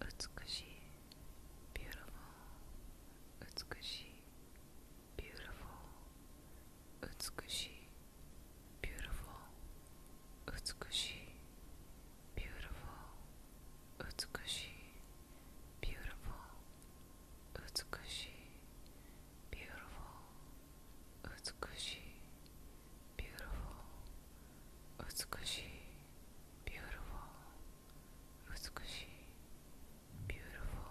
美しい beautiful 美しい beautiful 美しい beautiful 美しい beautiful beautiful beautiful beautiful beautiful, beautiful, beautiful, beautiful,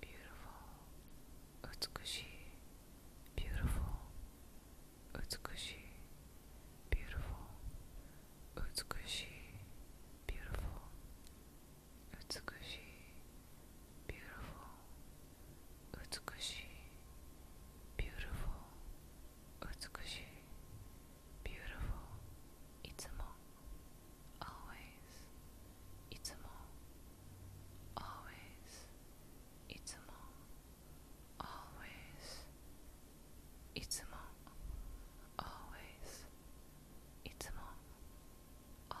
beautiful, beautiful, beautiful, beautiful, beautiful, beautiful, beautiful, beautiful, 美しい beautiful いつも always いつも always いつも always いつも always いつも always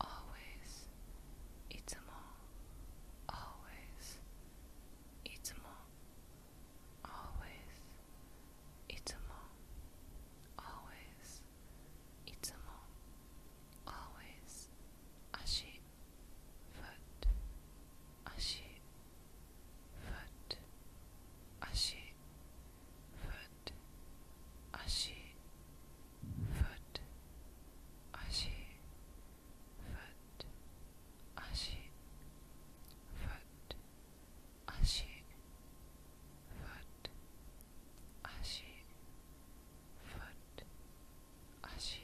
always, it's more, always, it's more, always, always, always, ashi, foot, foot, foot foot, ashi, foot, ashi, foot, ashi, foot, ashi, foot, ashi, foot, ashi,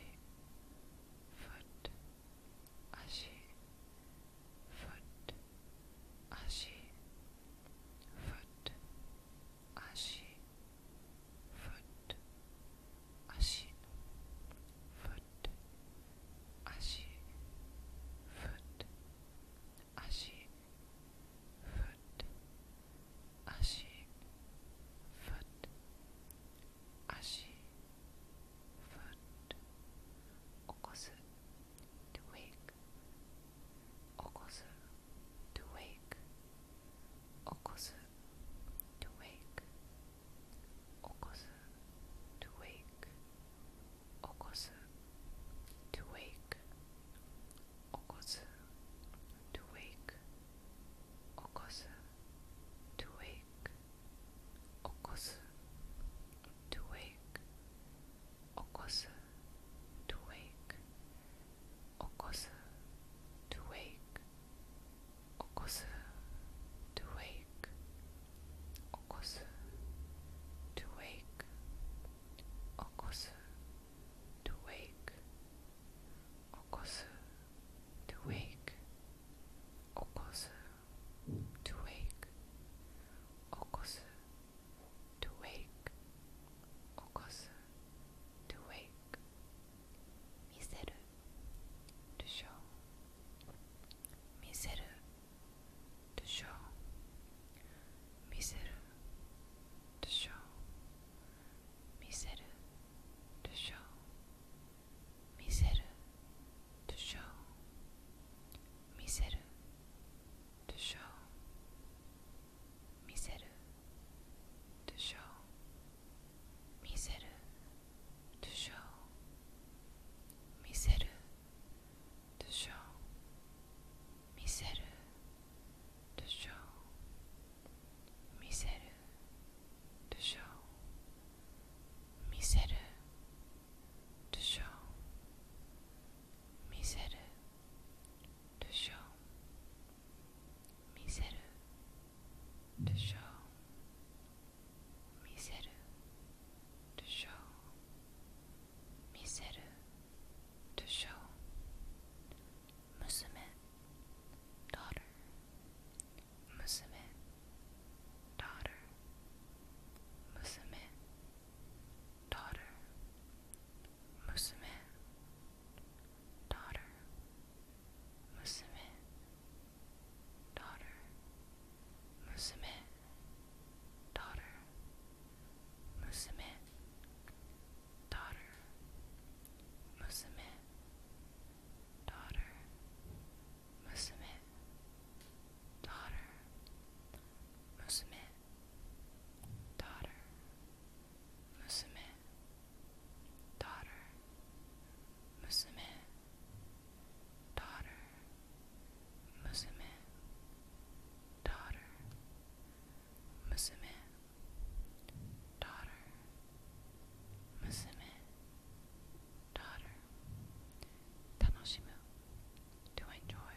foot, ashi, foot, ashi, foot, 足 foot 足 foot 足 foot 足 foot 足 foot 足 foot 起こす to wake 起こす to wake Okosu to wake. Okosu to wake. Okosu to wake. Okosu to wake. Okosu to Okosu to wake. Okosu to wake. Okosu to wake. to wake. to wake. to wake. to wake to wake, miseru, to show, miseru, to show, miseru, to show, miseru, to show, miseru, to show, miseru, to show, miseru. とショー見せるとショー見せるとショー見せるとショー見せるとショー見せるとショー見せる to show miseru to show miseru to show miseru to show musume daughter musume daughter musume daughter musume daughter, musume, daughter, musume, daughter, musume, daughter, musume, daughter, musume, daughter, musume, daughter, Musume Daughter Musume Daughter Daughter Daughter Daughter to enjoy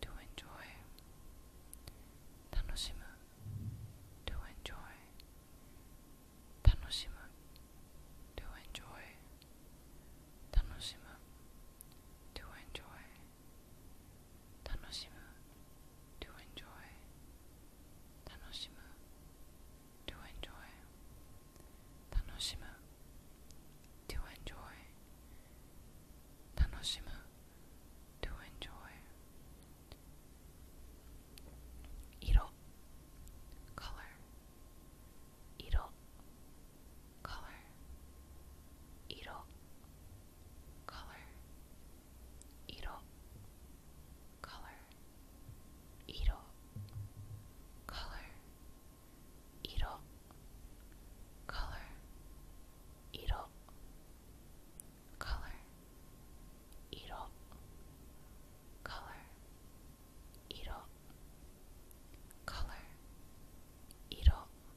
to enjoy. Tanoshimu to enjoy. Tanoshimu to enjoy. to enjoy. to enjoy. to enjoy. to enjoy. 楽しむ to enjoy 色 color 色 color 色 color 色 color 色 color 色 color 色 color color 色 color 色 color 色 color 色 color 色 color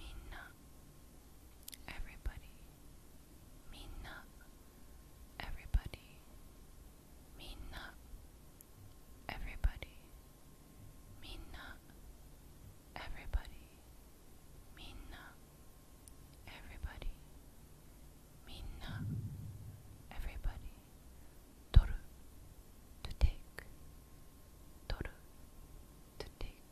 Minna everybody Minna everybody Minna everybody Minna everybody Minna everybody Minna everybody Toru to take Toru to take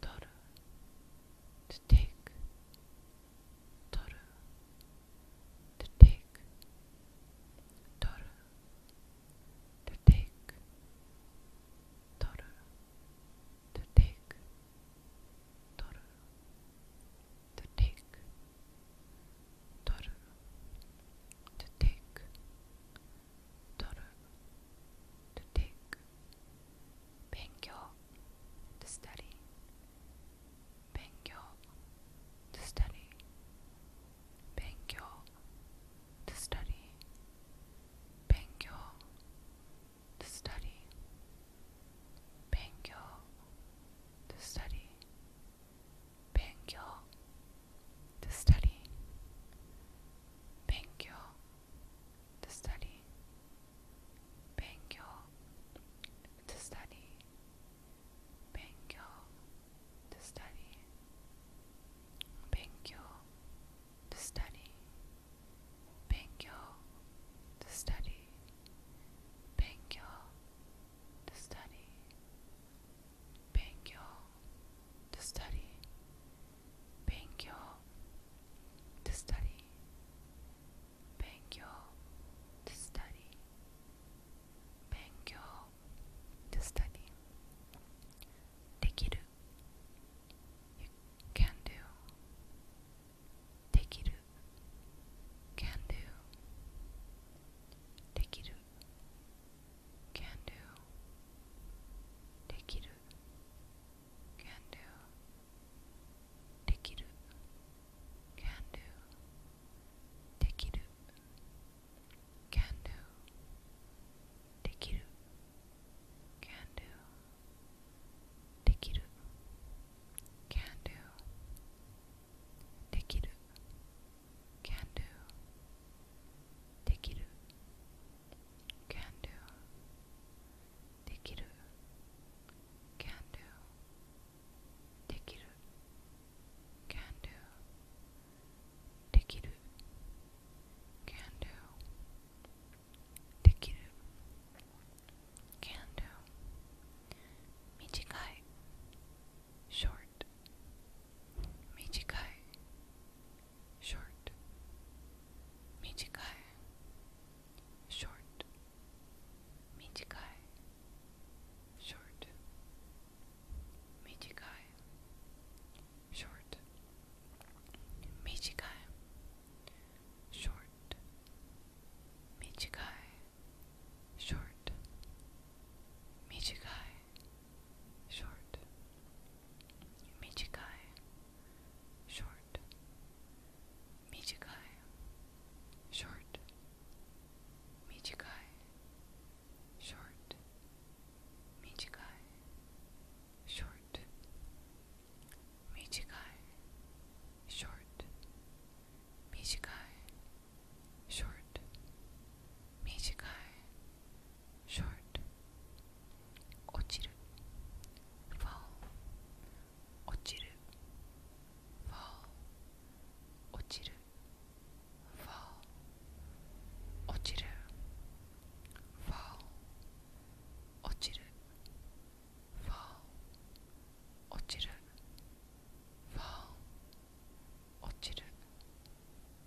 Toru to take Toru to take Toru to take Toru to take Toru to take Toru to take Toru, to take. Benkyo, to study. Benkyo, to study. Benkyo, to study. to study. to study to study. Benkyo 勉強 to study 勉強 to study 勉強 to study できる you can do できる can do できる can do できる Dekiru. Can do. Dekiru. Can do. Dekiru. Can do. Dekiru. Can do. Dekiru. Can do. Dekiru. Can do can do, dekiru, can do, dekiru, can do, dekiru, can do, dekiru, can do, michikai, short, michikai short, michikai, short, michikai, short, michikai, short, michikai, short, michikai, short, michikai short Michikai short Michikai short Michikai short Michikai short Michikai short Michikai short 短い short 落ちる fall 落ちる fall 落ちる fall 落ちる fall 落ちる fall 落ちる fall 落ちる fall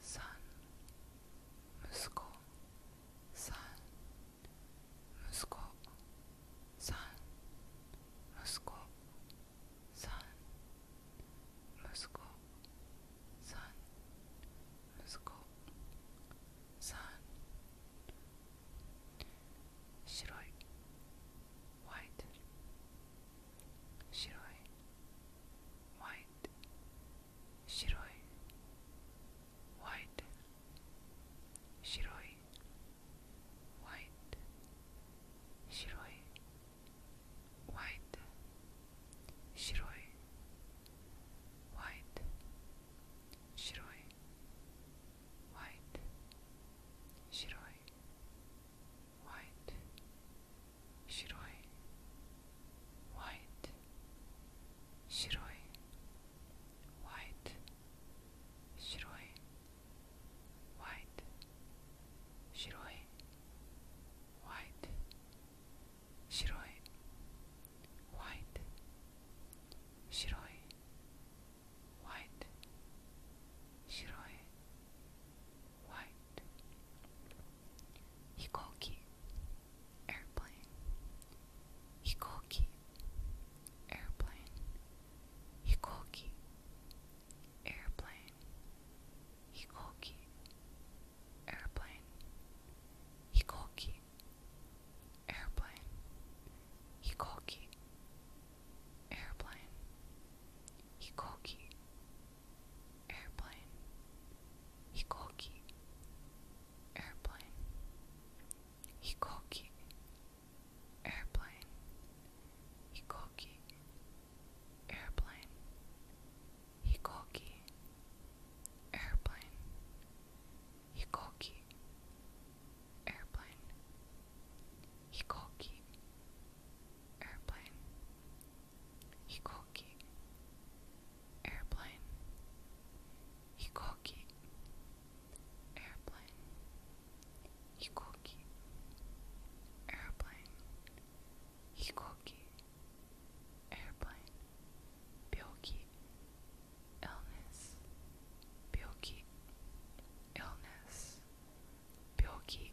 さん息子さん息子さん息子さん息子さん息子さん白いホワイト白いホワイト Shiroi White Shiroi White Shiroi White Shiroi White Shiroi White Shiroi White 白い white 白い white 白い white 白い white 白い white 白い white 白い white 飛行機 airplane, hikoki, airplane, hikoki, airplane, hikoki, airplane, hikoki, airplane, hikoki, airplane, hikoki, airplane, hikoki, airplane, hikoki, airplane, hikoki, airplane, hikoki, airplane, hikoki, Hikoki Airplane Hikoki Airplane Hikoki Airplane Hikoki Airplane Byoki Illness Byoki Illness Byoki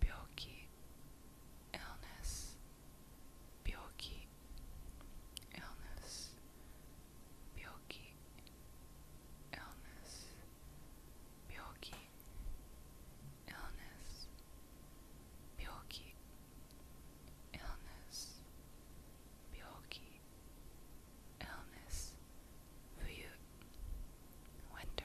病気 illness 病気 illness 病気 illness 病気 illness 病気 illness 病気 illness 冬 winter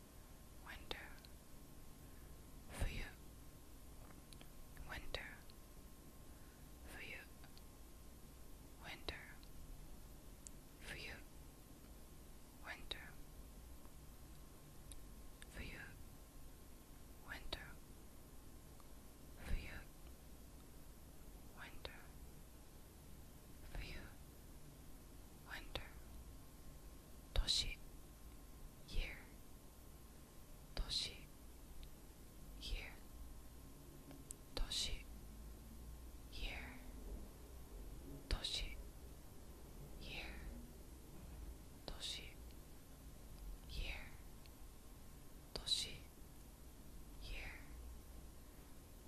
winter, Fuyu, winter, Fuyu, winter, Fuyu, winter, Fuyu, winter, Fuyu, winter. 冬 winter 年 year 年 year 年 year 年 year 年 year 年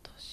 year 年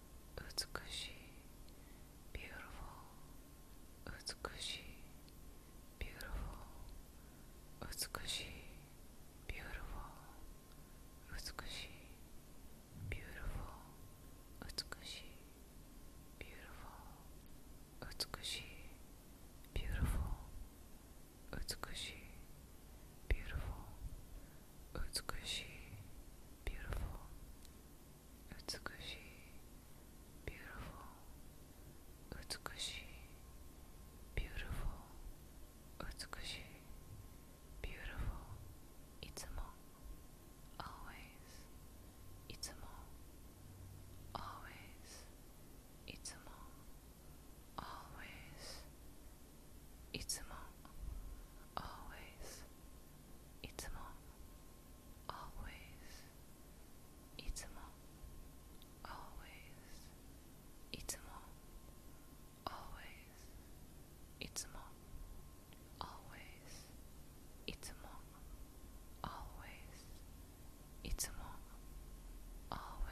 utsukushi, beautiful, utsukushi, beautiful, utsukushi, beautiful, beautiful, beautiful, beautiful, beautiful, Utsukushi, beautiful. Utsukushi, beautiful. beautiful. beautiful. Itsumo, always. Itsumo, always. always. いつも always いつも always いつも always いつも always いつも always いつも always いつも always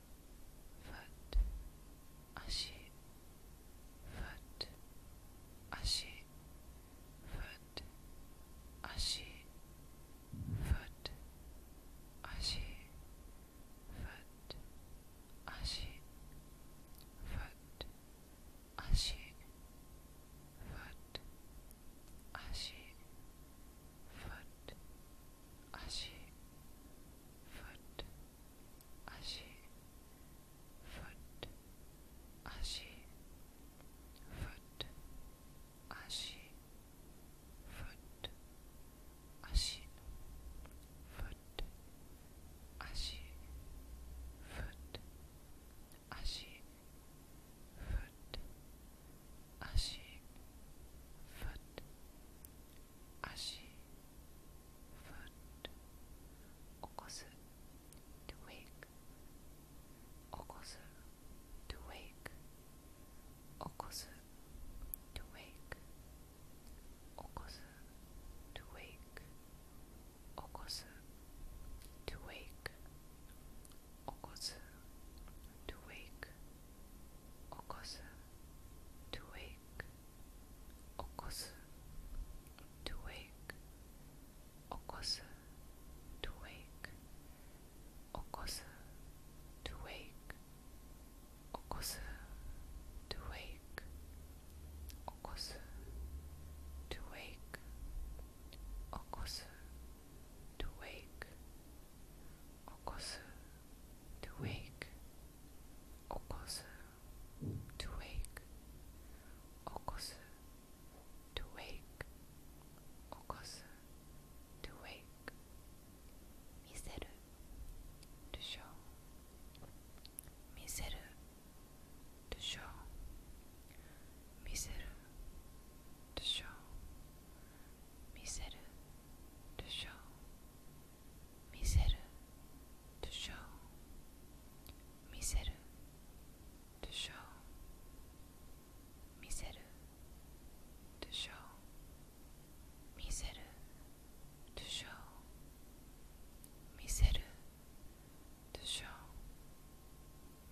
foot, 足、foot, 足、foot, 足、foot, 足、foot, 足、foot, 足、foot, 足、foot, 足、足 foot 足 foot 足 foot 足 foot 足 foot 足 foot 足 foot 足 foot 足 foot foot, okosu, to wake, okosu, to wake, okosu, to wake, to wake, to wake, to wake, to wake wake, okosu, to wake, okosu, to wake, okosu, to wake, to wake, to wake, okosu, to wake, Okosu to wake. Okosu to wake. Okosu to wake. Okosu to wake. Miseru to show. Miseru to show. Miseru to show to show, miseru, to show, miseru, to show, miseru, to show, miseru, to show, miseru, to show,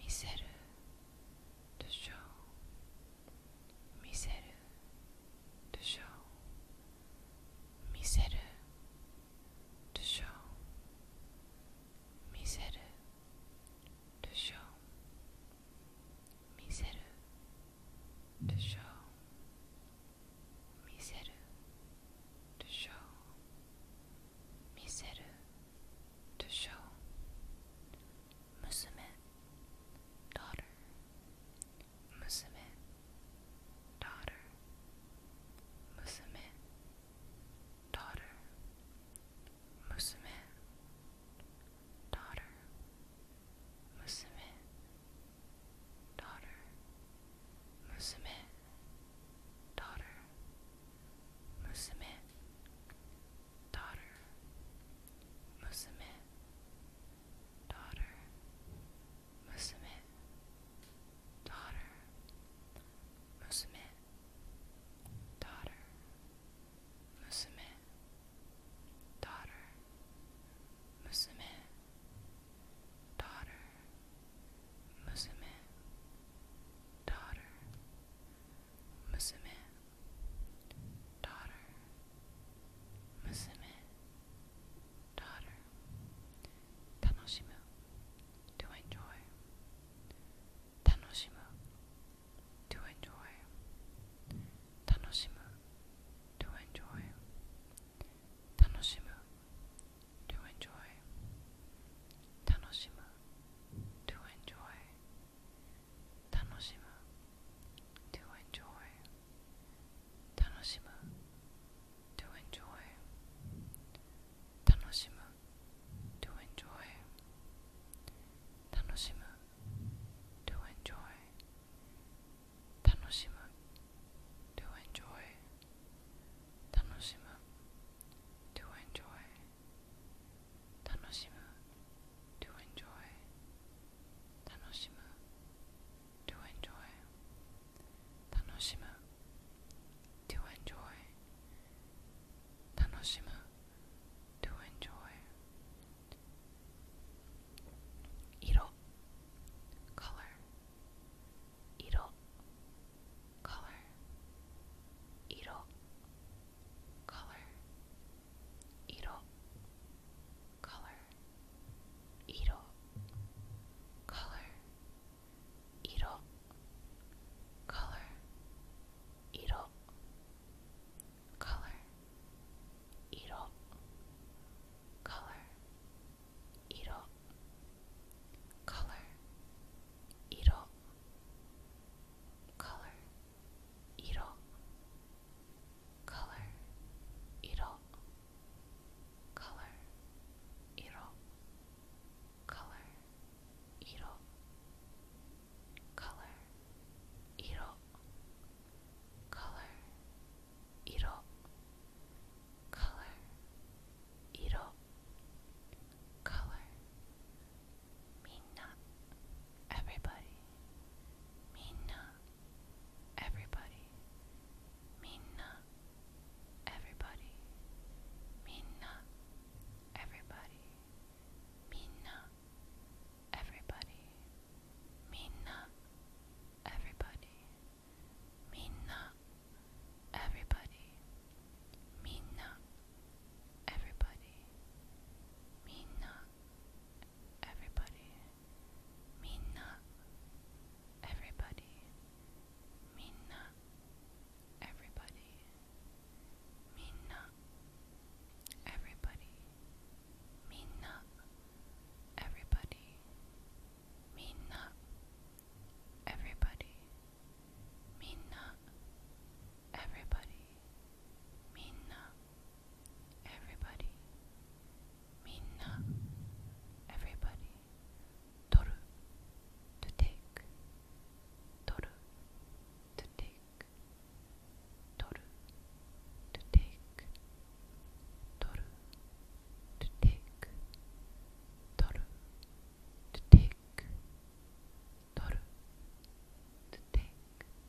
miseru, to show, miseru, to show. 見せるでしょ見せるでしょ見せるでしょ見せるでしょ見せるでしょ娘 daughter Musume Daughter Musume Daughter Musume Daughter Musume Daughter Musume Daughter Musume Daughter Musume daughter, musume, daughter, musume, daughter, musume, daughter, musume, daughter, musume, daughter, musume, daughter, musume. daughter 楽しむ to enjoy 楽しむ to enjoy 楽しむ to enjoy 楽しむ to enjoy 楽しむ to enjoy 楽しむ to enjoy. Tanoshimu to enjoy. Tanoshimu to enjoy. Tanoshimu to enjoy. to enjoy. to enjoy. to enjoy. 楽しむ to enjoy to enjoy to enjoy 色 color color color color color, iro, color, iro, color, iro, color, iro, color, iro, color, iro, color, iro, color, iro, color, iro, color, iro, color, iro, color, iro, color, iro, color, minna, everybody, minna everybody, minna, everybody, minna, everybody, minna, everybody, minna, everybody, minna, everybody, minna, everybody. Minna, everybody. Minna, everybody. Minna, everybody. Minna, everybody. Minna, everybody. Minna, everybody. Minna, everybody, minna, everybody, toru, to take, toru, to take, toru, to take, toru, to take, toru, to take, toru, to take.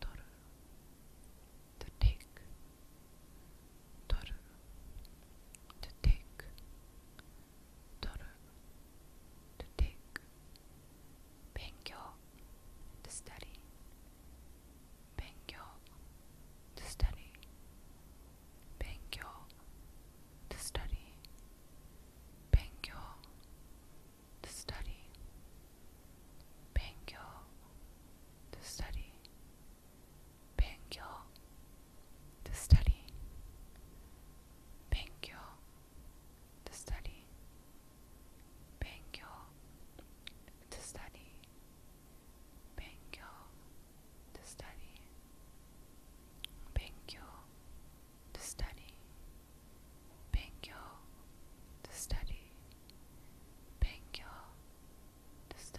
toru to take toru to take toru to take benkyo to study benkyo to study to study to study. Bangyo to study. Bangyo study. Bangyo study. Bangyo study. Bangyo study. Bangyo study. 勉強と study 勉強と study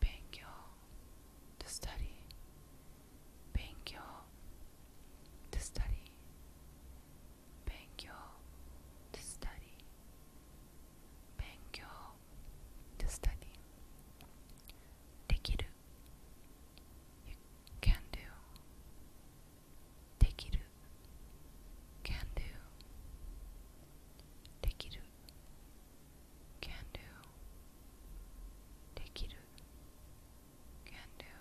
勉強と study 勉強と study 勉強と study 勉強と study できる You can do Dekiru can do Dekiru can do Dekiru can do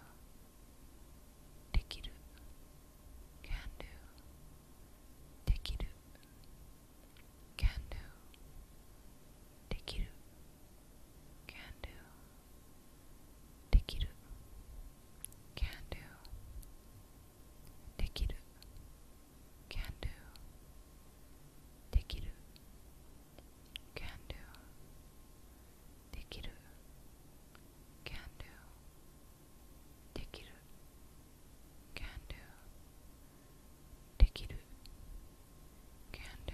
can do can do can do できる can do できる can do できる can do できる can do できる can do できる can do できる can do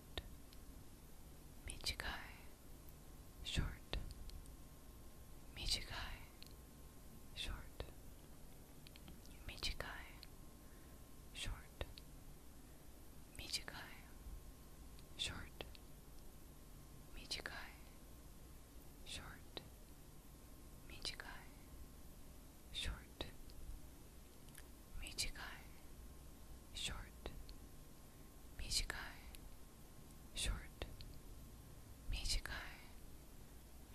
short. Michigai, short. Michigai, short. Michigai, short. Michigai, short. Michigai, short. Michigai, short. Michigai short Michigai short Michigai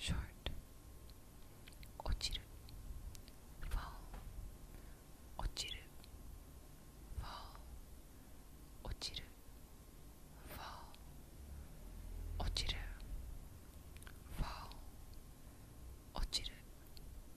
short Ochiru fall Ochiru fall Ochiru fall Ochiru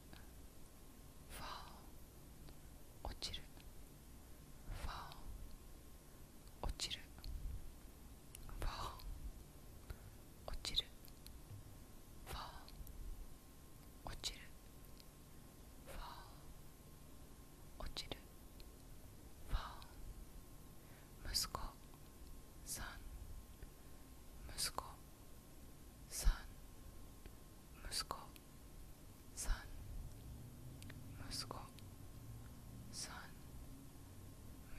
るファオ落ちるファオ落ちるファオ落ちるファオ落ちるファオ落ちるファオ息子さん息子三息子三息子三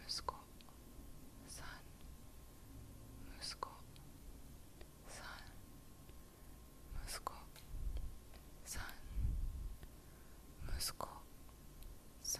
息子三息子三息子三息子三息子三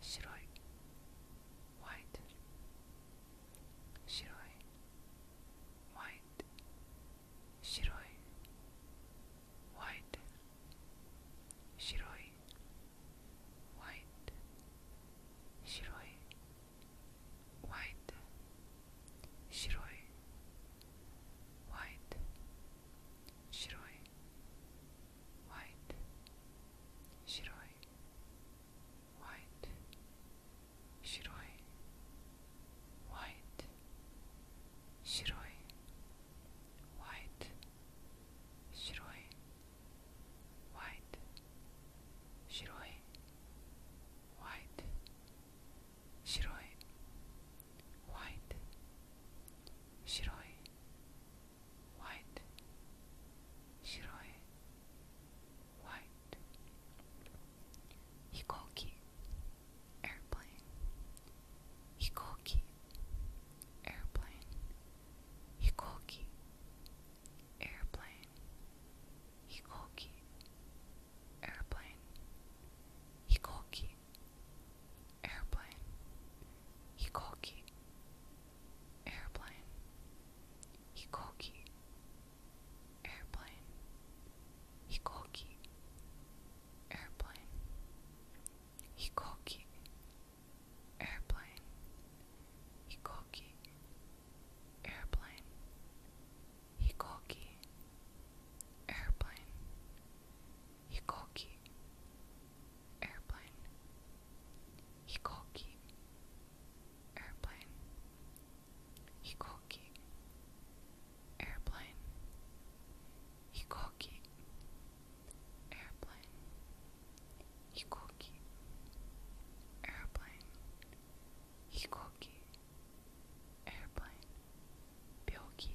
白い white 白い white 白い white 白い white 白い white 白い white 白い white, shiroi, white, shiroi, white, shiroi, white, shiroi, white, shiroi, white, shiroi, white, Shiroi White Shiroi White Hikoki Airplane Hikoki Airplane Hikoki Airplane Hikoki Airplane Hikoki airplane, hikoki, airplane, hikoki, airplane, hikoki, airplane, hikoki, airplane, hikoki, airplane, hikoki, airplane hikoki airplane hikoki airplane hikoki airplane hikoki airplane hikoki airplane byoki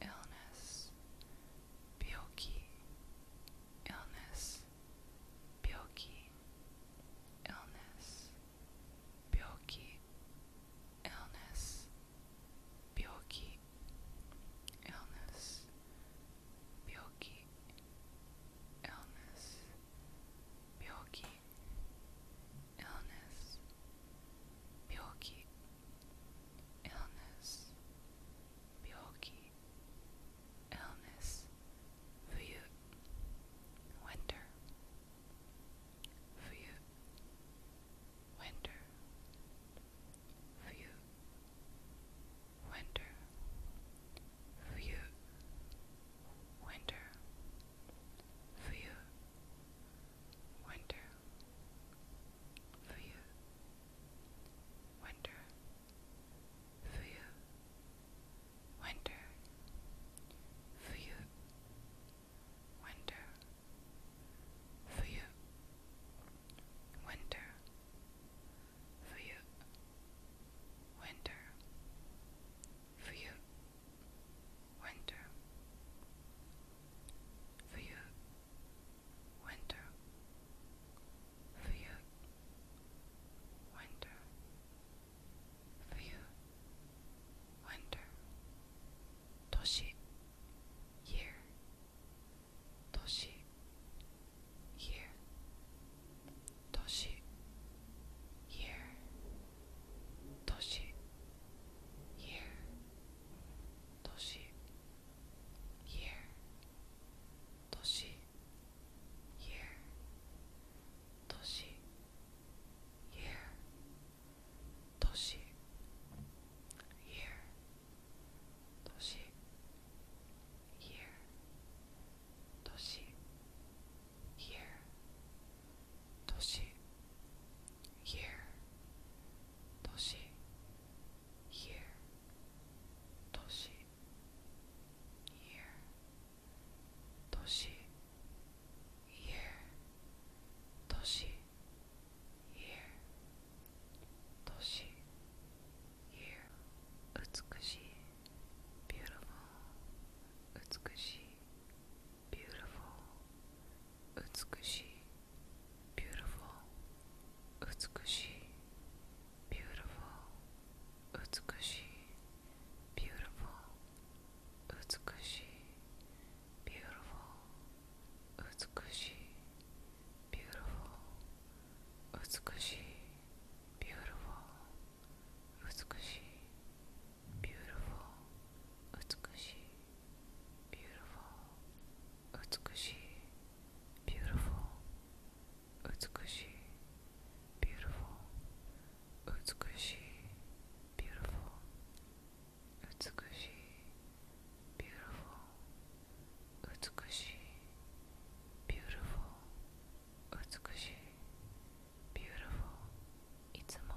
illness, byoki, illness, byoki, illness, byoki, illness, byoki, illness, byoki, illness, byoki, illness, byoki, illness, fuyu, winter, fuyu, winter, winter, winter, winter. Fuyu. Winter. Fuyu. Winter. Fuyu. Winter. Fuyu. Winter. Fuyu. Winter. Fuyu. Winter. Fuyu winter, for you, winter, for you, winter, toshi, year, toshi, year, toshi, year, toshi, year, toshi, year, toshi, year, toshi, year, toshi, year, toshi, year, toshi, year, toshi, year, toshi, year 年 year 年 year 年 year 年 year 美しい beautiful 美しい beautiful Utsukushi, beautiful. Utsukushi, beautiful. Utsukushi, beautiful. Utsukushi, beautiful. beautiful. beautiful. beautiful. beautiful. 美しい beautiful 美しい beautiful 美しい beautiful 美しい beautiful 美しい beautiful 美しい beautiful いつも Beautiful,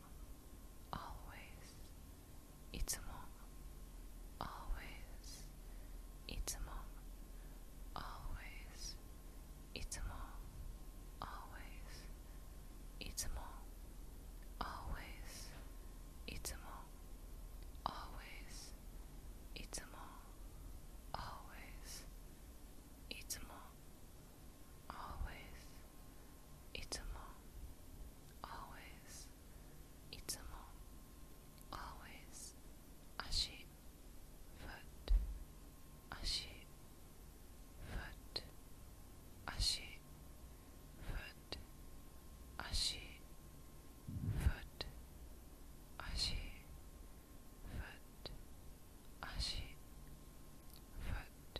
always いつも always いつも always いつも always always always always always always, itsumo, always, itsumo, always, ashi, foot, ashi, foot, ashi, foot, ashi, foot, ashi, foot, ashi, foot,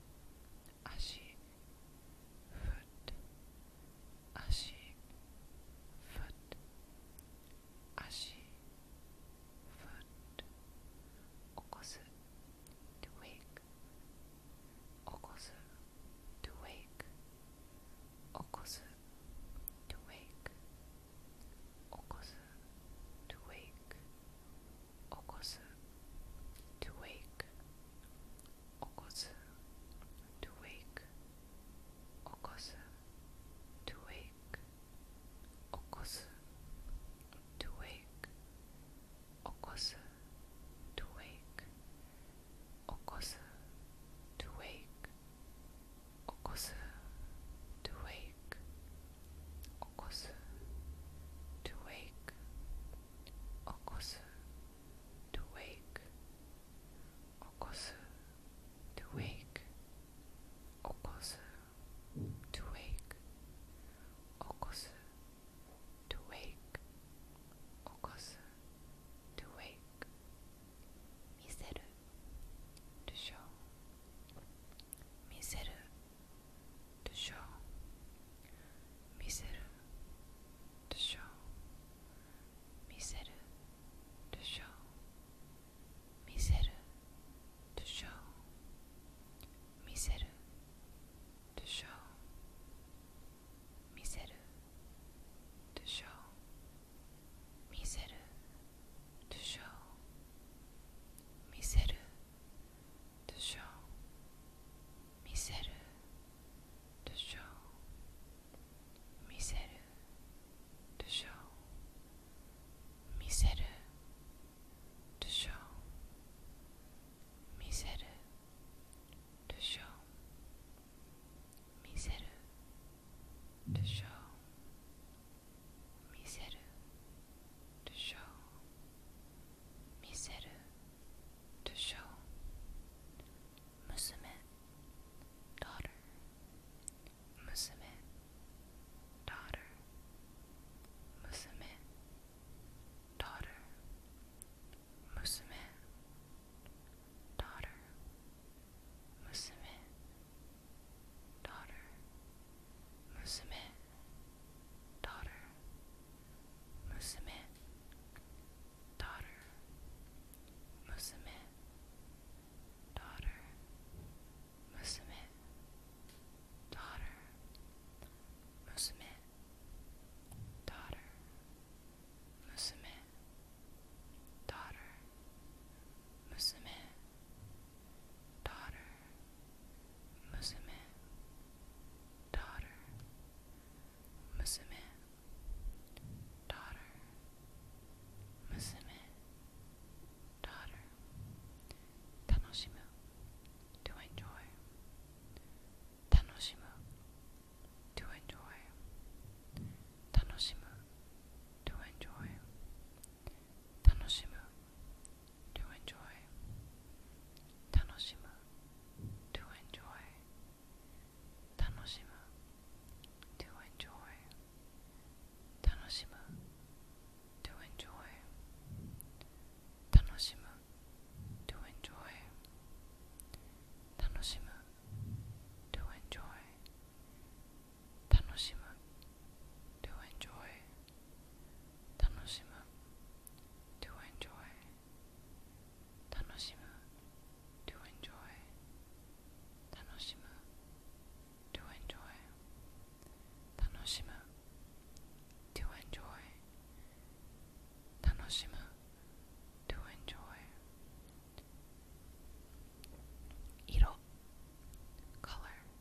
足 foot 足 foot 足 foot 起こす to wake 起こす to wake to wake to wake 起こす to wake 起こす to wake 起こす to wake 起こす to wake to wake to wake to wake wake okosu to wake okosu to wake okosu to wake okosu to wake okosu to wake okosu to to show miseru to show miseru to show miseru to show miseru to show miseru to show miseru to show とショー見せるとショー見せるとショー見せるとショー見せるとショー見せるとショー見せる to show, miseru, to show, musume, daughter, musume, daughter, musume, daughter, daughter, daughter, daughter, musume, daughter, musume, daughter, musume, daughter, musume, daughter, musume, daughter, musume, daughter, musume, daughter, musume, daughter, musume, daughter, tanoshimu, to enjoy, tanoshimu, to enjoy, tanoshimu, to enjoy. Tanoshimu to enjoy. Tanoshimu to enjoy. to enjoy. to enjoy. to enjoy. to enjoy. to enjoy. 楽しむ to enjoy. to enjoy. to enjoy. to enjoy. to enjoy. color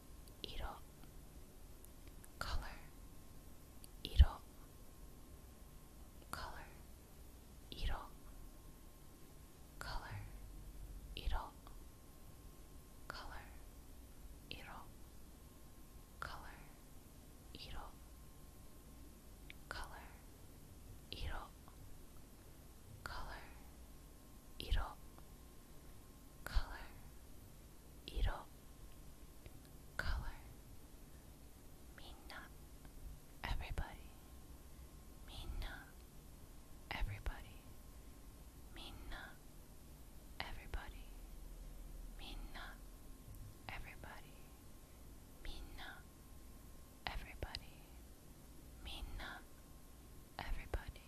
色 color color color color color color color color color color color color, iro, color, minna, everybody, minna, everybody, minna, everybody, minna, everybody, minna, everybody, minna, everybody. Minna, everybody.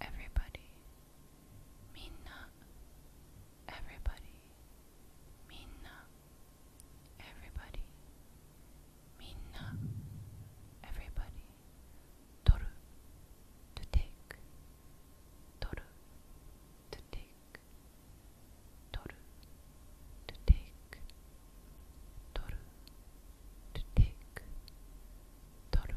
everybody, minna, everybody, minna, everybody, minna, everybody, toru, to take, toru, to take, toru, to take, toru, to take, toru.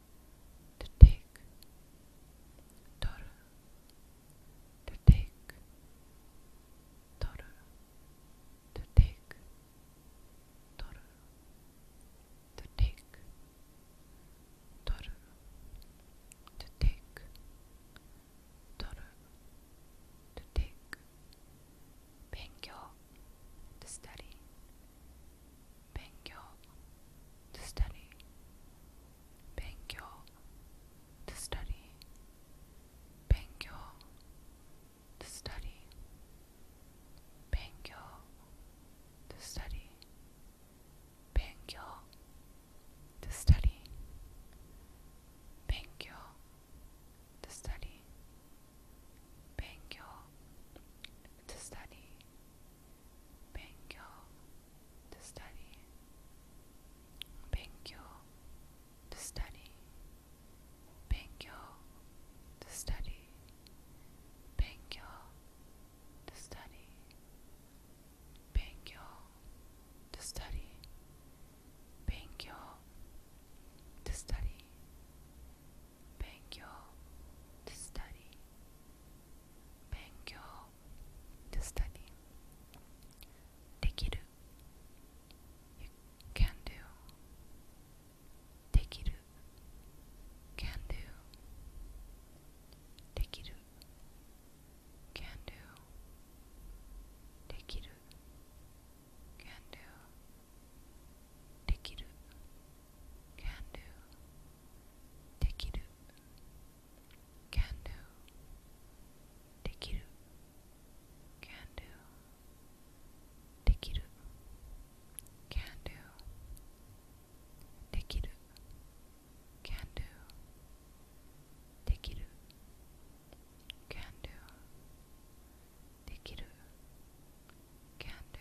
to take, Toru, to take, Toru, to take, Toru, to take, Toru, to take, Toru, to take, Benkyo, to study. 勉強と study 勉強と study 勉強と study 勉強と study 勉強と study 勉強と study 勉強と study 勉強 to study 勉強 to study study study study study study to study. できる You can do. できる Can do. できる Can do. できる Can do. できる Can do. できる can do できる can do できる can do できる can do できる can do できる can do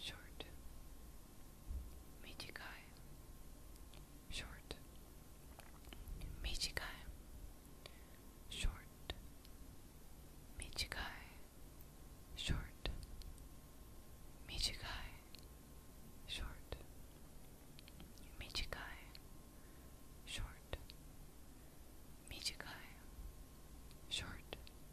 short, Michigai, short, Michigai, short, Michigai, short, Michigai, short, Michigai, short, Michigai, short.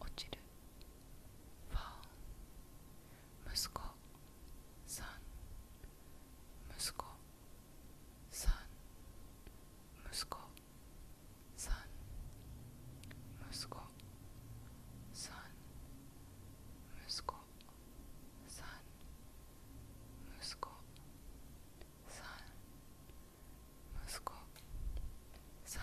落ちるファン息子さん息子さん息子さん息子さん息子さん息子ささん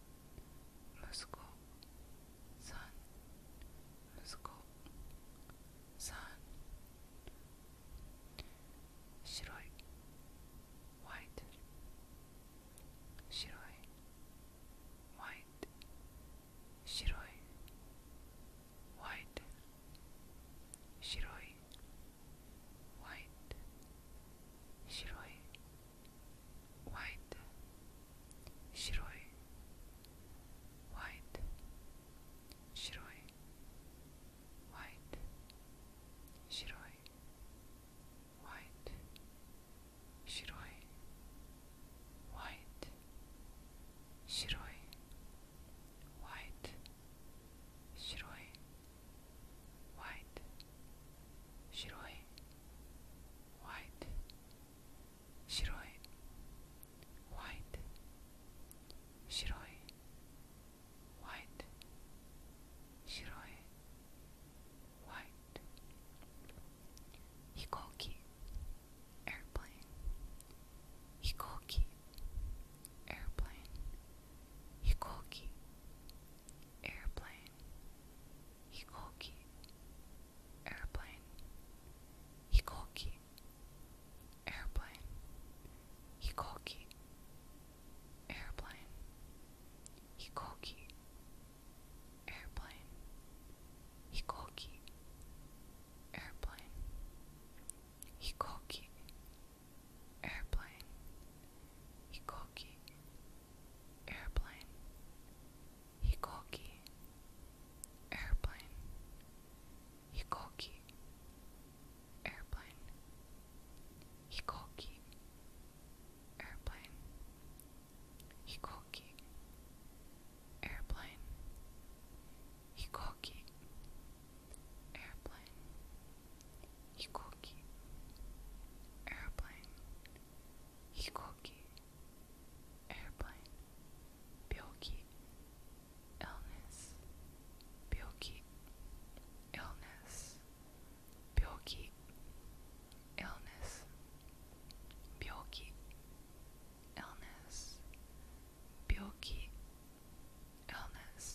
息子さん息子さん白い white 白い white 白い white 白い white, shiroi, white, shiroi, white, shiroi, white, shiroi, white, shiroi, white, shiroi, white, shiroi white, 白い white, 白い white, 白い white, 白い white, 飛行機 airplane, 飛行機 airplane Hikoki Airplane Hikoki Airplane Hikoki Airplane Hikoki Airplane Hikoki Airplane Hikoki airplane, hikoki, airplane, hikoki, airplane, hikoki, airplane, hikoki, airplane, hikoki, airplane, hikoki, Hikoki Airplane Hikoki Airplane Byoki Illness Byoki Illness Byoki Illness Byoki Illness Byoki Illness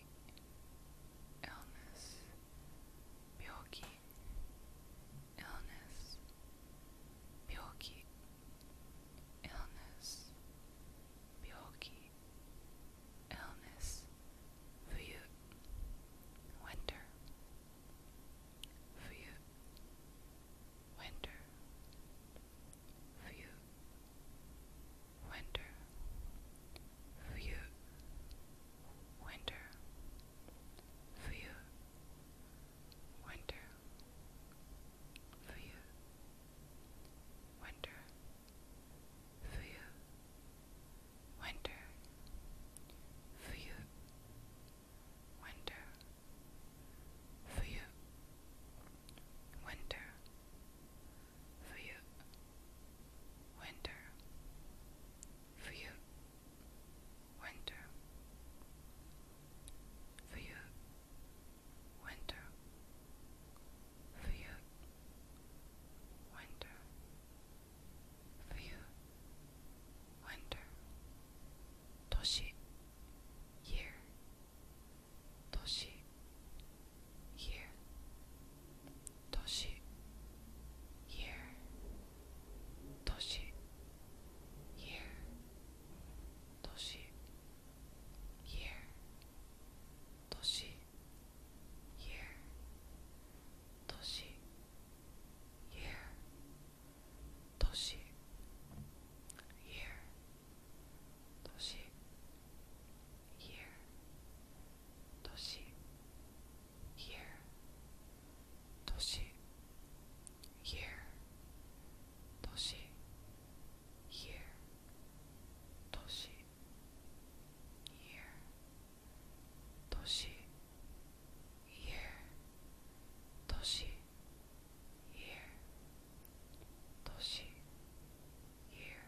illness, byoki, illness, byoki, illness, byoki, illness, fuyu, winter, winter, winter, view, winter, view, winter, view, winter, view, winter, view, winter, view, winter for you. Winter, for you. Winter, for you. Winter, for you. Winter, for you. Winter, toshi, year, toshi, year, toshi, year, toshi, year, toshi, year, toshi, year, toshi, year, toshi, year, toshi, year. 年 Toshi here Toshi here Toshi here Toshi here Toshi here Toshi here here